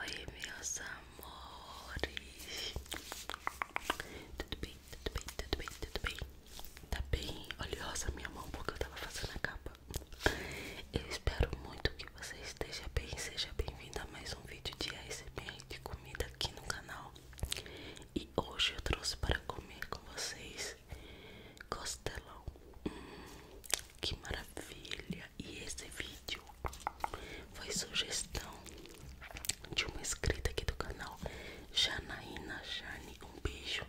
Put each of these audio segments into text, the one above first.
Oi, meus amores. Tudo bem, tudo bem, tudo bem, tudo bem. Tá bem oleosa minha mão porque eu tava fazendo a capa. Eu espero muito que você esteja bem. Seja bem-vindo a mais um vídeo de ASMR de comida aqui no canal. E hoje eu trouxe para comer com vocês costelão. Hum, que maravilha! E esse vídeo foi sugestão de uma inscrita aqui do canal, Janaína Jane. Um beijo.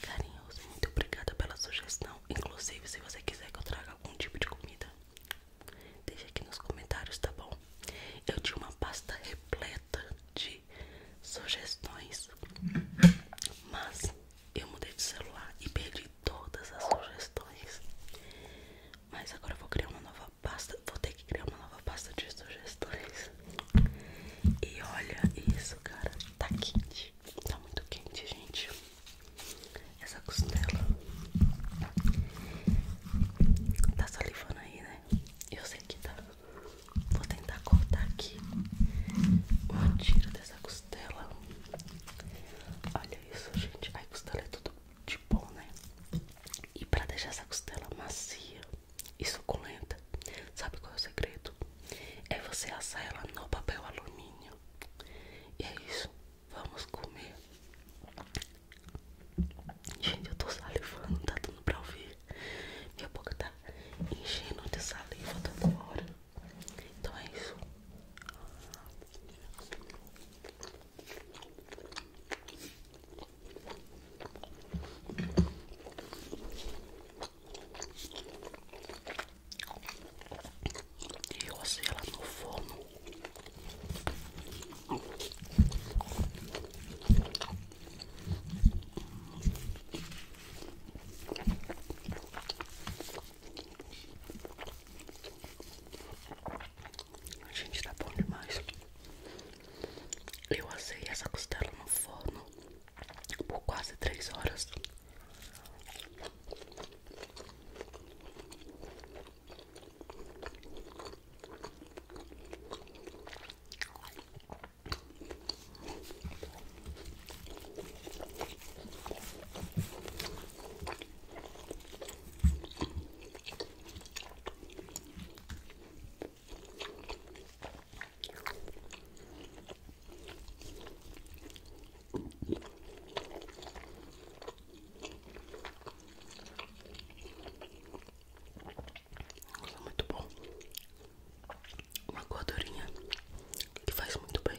Carinhoso, muito obrigada pela sugestão. Inclusive, se você quiser que eu traga algum tipo de comida, deixe aqui nos comentários, tá bom? Eu tinha uma pasta repleta de sugestões, mas eu mudei de celular e perdi todas as sugestões. Mas agora eu vou criar uma nova pasta, vou ter que criar uma nova pasta de sugestões. E olha isso, cara. Tá quente. Tá muito quente, gente. Essa costela. Tá salivando aí, né? Eu sei que tá. Vou tentar cortar aqui um tiro dessa costela. Olha isso, gente. Ai, costela é tudo de bom, né? E pra deixar essa costela macia, e suculenta. Sabe qual é o segredo? É você assar ela no papel alumínio. E é isso. Vamos comer. Gente, eu tô salivando, não tá dando pra ouvir. Minha boca tá enchendo de saliva toda tá hora. Então é isso. E eu assei ela no forno. a Gente, está bom demais. Eu assei essa costela no forno por quase três horas. Nossa, muito bom. Uma gordurinha que faz muito bem.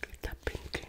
que tá bem quente.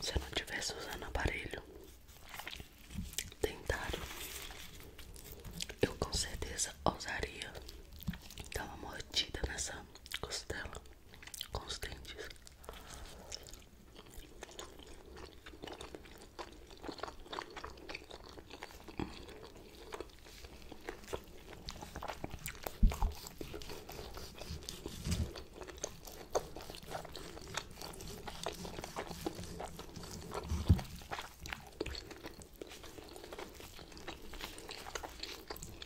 Se eu não tivesse usando aparelho dentário, eu com certeza ousaria dar uma mordida nessa costela com os dentes.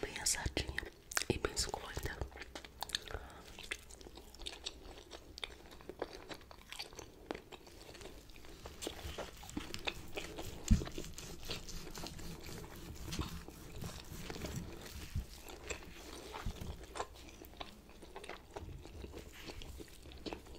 bem assadinha e bem suculenta.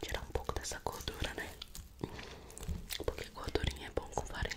Tirar um pouco dessa gordura, né? Porque gordurinha é bom com farinha.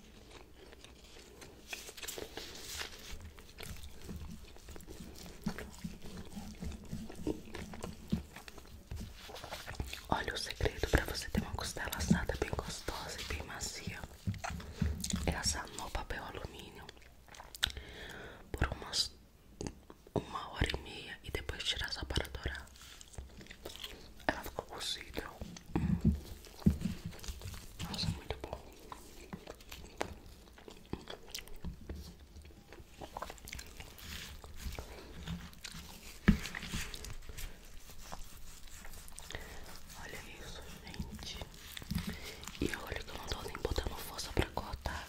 Olha o segredo para você ter uma costela assada bem gostosa e bem macia é assar no papel alumínio por umas uma hora e meia e depois tirar só para dourar. Ela ficou cozida. Hum. Nossa, muito bom. Olha isso, gente. E olha que eu não tô nem botando força pra cortar.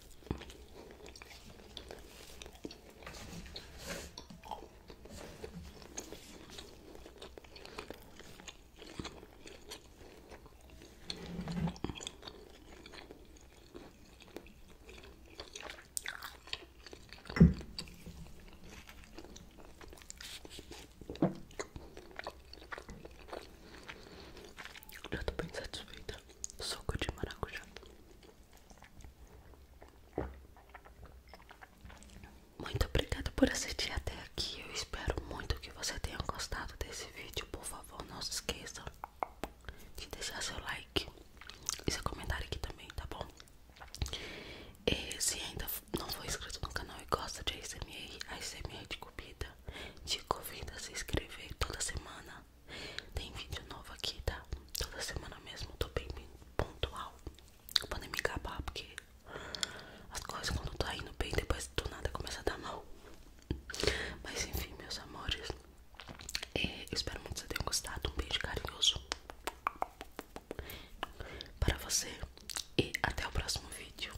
Eu tô bem satisfeita. Suco de maracujá. Muito obrigada por assistir até aqui. Eu espero muito que você tenha gostado desse vídeo. Por favor, não se esqueça de deixar seu like e seu comentário aqui também, tá bom? E se ainda não for inscrito no canal e gosta de ASMR, ASMR de comida, vida. Te convido a se inscrever toda semana. Tem vídeo novo aqui, tá? Toda semana mesmo, tô bem, pontual. Vou poder me acabar porque as coisas quando tá indo bem, depois do nada começa a dar mal. Mas enfim, meus amores. Eu é, espero muito que vocês tenham gostado. Um beijo carinhoso para você e até o próximo vídeo.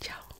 Tchau.